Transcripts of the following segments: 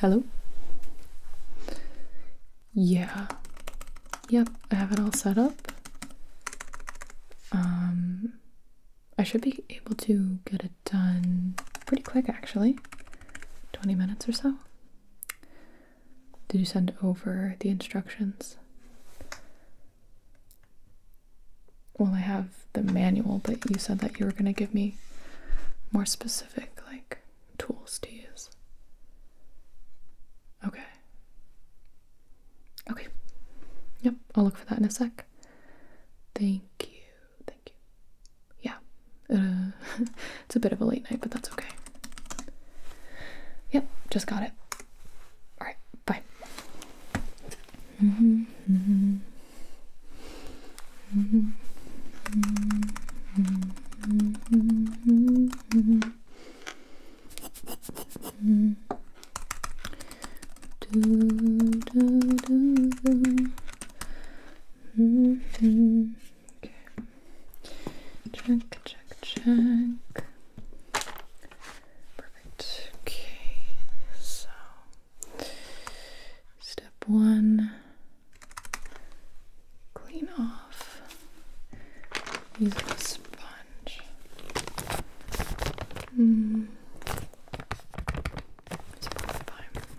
Hello? Yeah. Yep, I have it all set up. Um, I should be able to get it done pretty quick actually. 20 minutes or so. Did you send over the instructions? Well, I have the manual, but you said that you were going to give me more specific, like, tools to use. Okay. Okay. Yep, I'll look for that in a sec. Thank you thank you. Yeah, it's a bit of a late night, but that's okay. Yep, just got it. All right, bye okay. Check, check, check. Perfect. Okay, so step one clean off using a sponge. Mm. It's about time.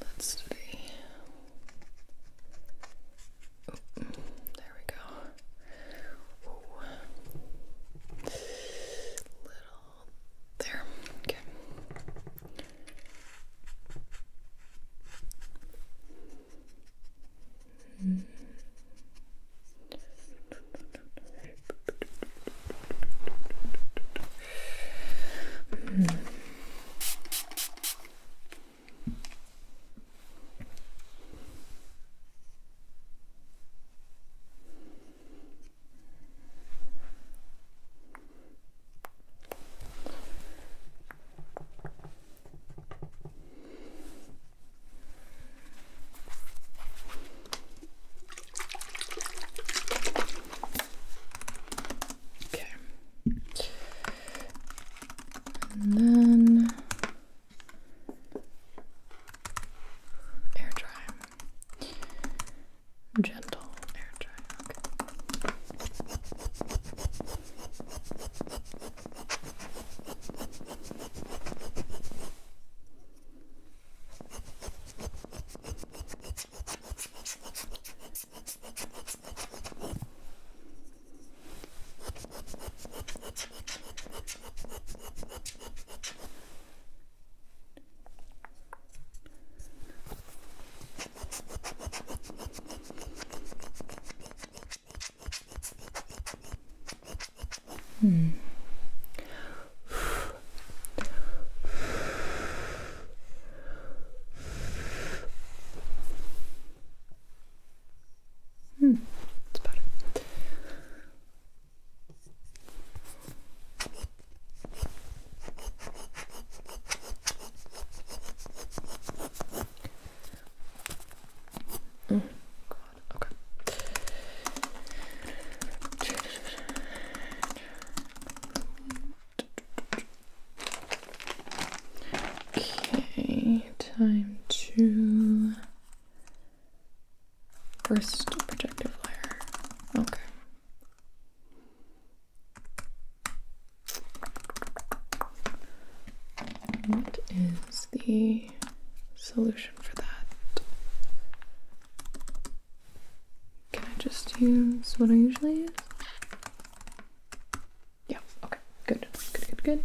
That's the. Oh, there we go. Little there, okay. Mm. Mm. Okay. And then air dry. Gentle air dry. Hmm. Hmm, hmm. Okay, time to first protective layer. Okay. What is the solution for that? Can I just use what I usually use? Yeah, okay, good, good, good, good.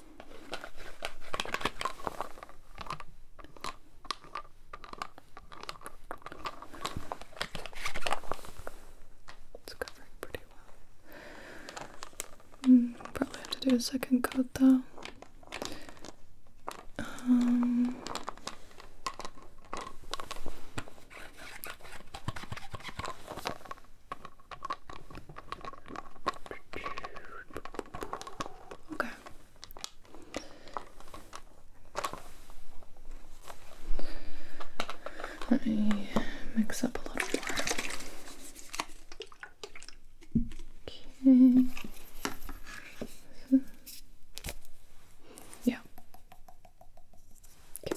It's covering pretty well. Mm, probably have to do a second coat though. Um, Okay. Let me mix up a little more. Okay. Yeah. Okay.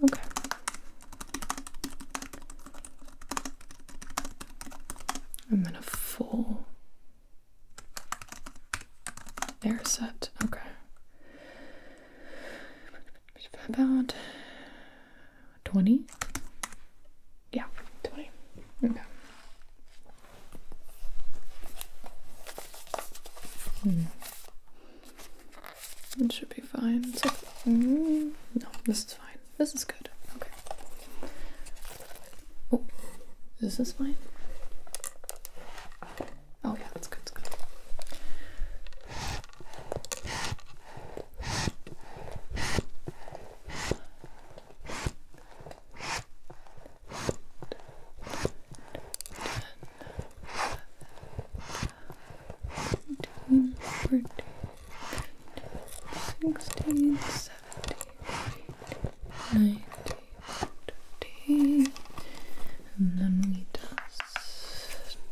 this. Okay. And then a full air set. Okay. About 20? Yeah, 20. Okay. Hmm. It should be fine. Mm, no, this is fine. This is good. Okay. Oh, is fine? Oh yeah, that's good. That's good. 15, 16, 17, 19, 20, and then we dust.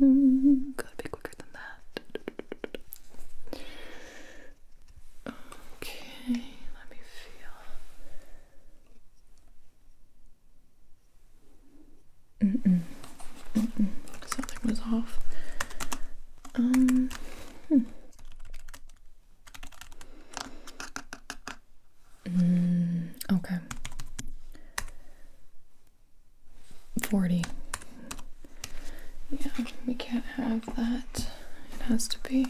Mm, gotta be quicker than that. Okay, let me feel. Mm -mm. Mm -mm. Something was off. Um. Hmm. Mm, okay. Forty. Yeah, we can't have that. It has to be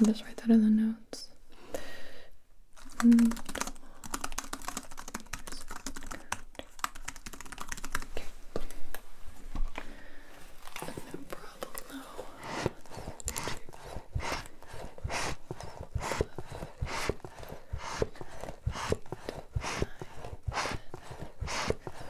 and uh, just write that in the notes. No problem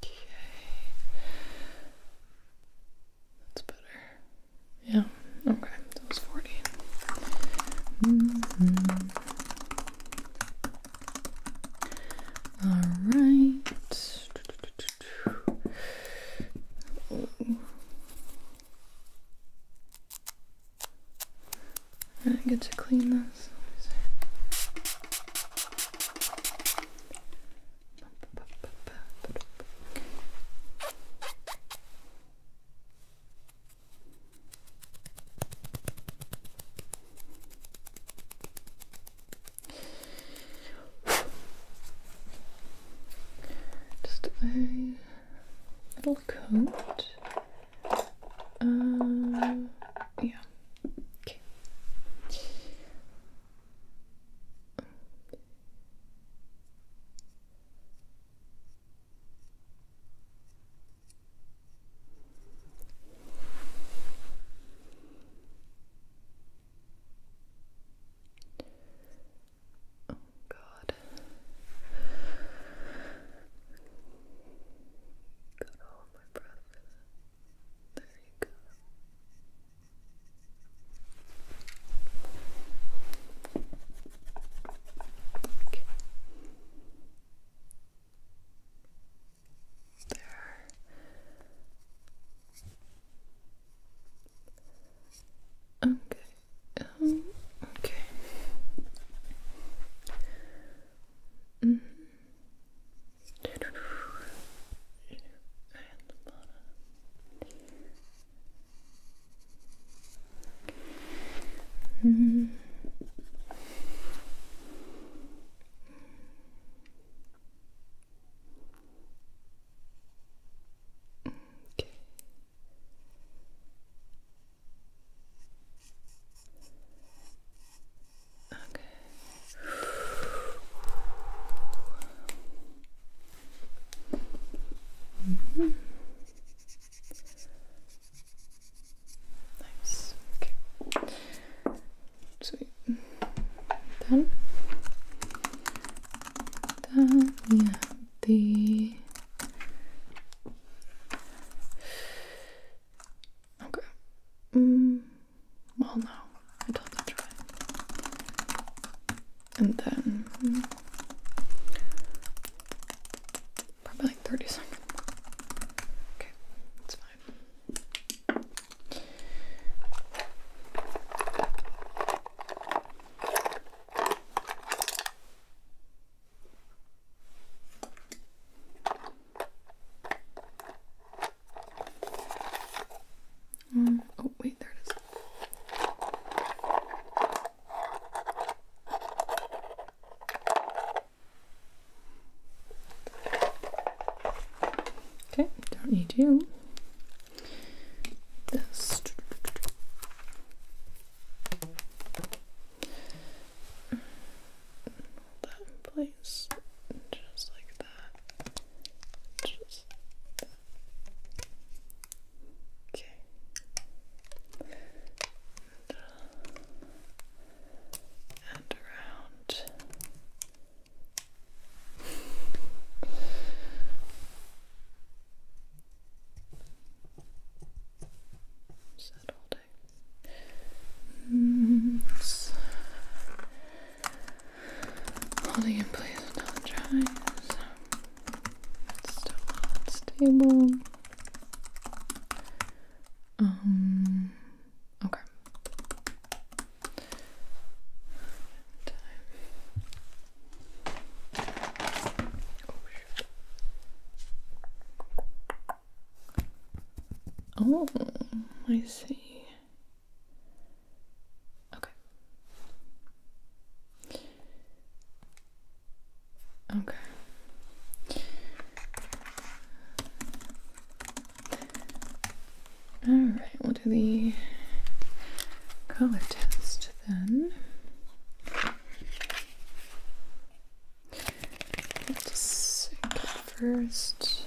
Okay. That's better. Yeah. Okay. That was 40. Mm-hmm. All right. I get to clean this. Just a little coat. Um, yeah. Okay. Oh God. Got all my breath There you go. Okay. There. Okay okay. -hmm. -hmm. Okay. Okay. -hmm. Nice. Sweet. Done. Done. Yeah the okay. Mm, well, no, I told you try, and then hmm, probably thirty seconds. Okay, it's fine. Um, oh, wait, there it is. Okay, don't need you. Hold that in place, just like that. Just Okay. and around. Sad all day. Mm, it's holding in place until it dries. It's still not stable. Um. Okay. Oh, I see. Okay. Okay. All right, we'll do the color test then. let first.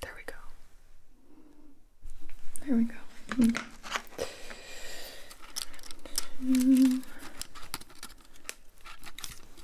There we go. There we go. Okay. Mm.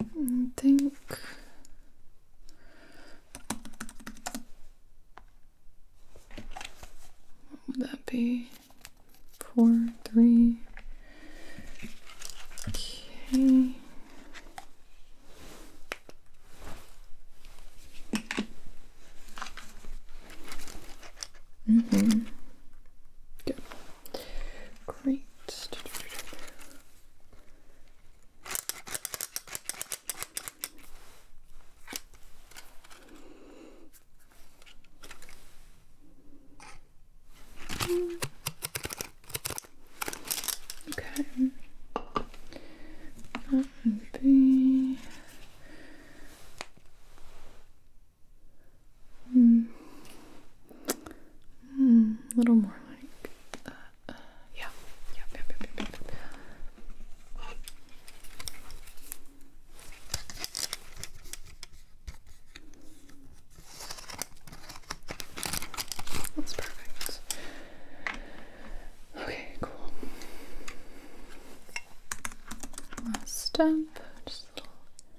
I think what would that be? Four, three. Okay. Mm-hmm. Good. Great. Okay. That would be. Hmm. Hmm, a little more like that. Uh, yeah. Yep, yep, yep, That's perfect. Okay, cool. Last step, just little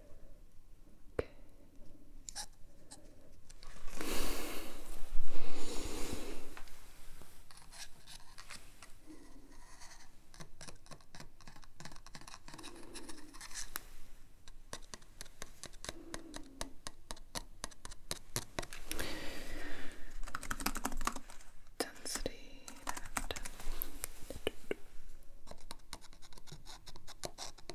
Density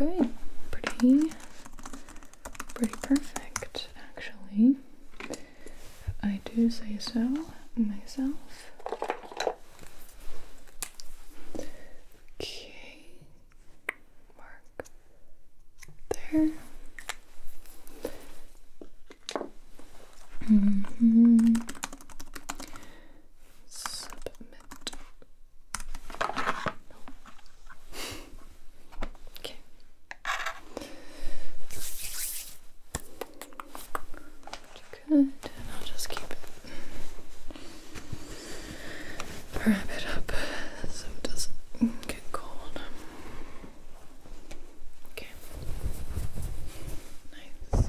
Okay, pretty, pretty perfect actually. I do say so myself. Okay, mark there. Submit. No. Okay. Good. I'll just keep it. Wrap it up so it doesn't get cold. Okay. Nice.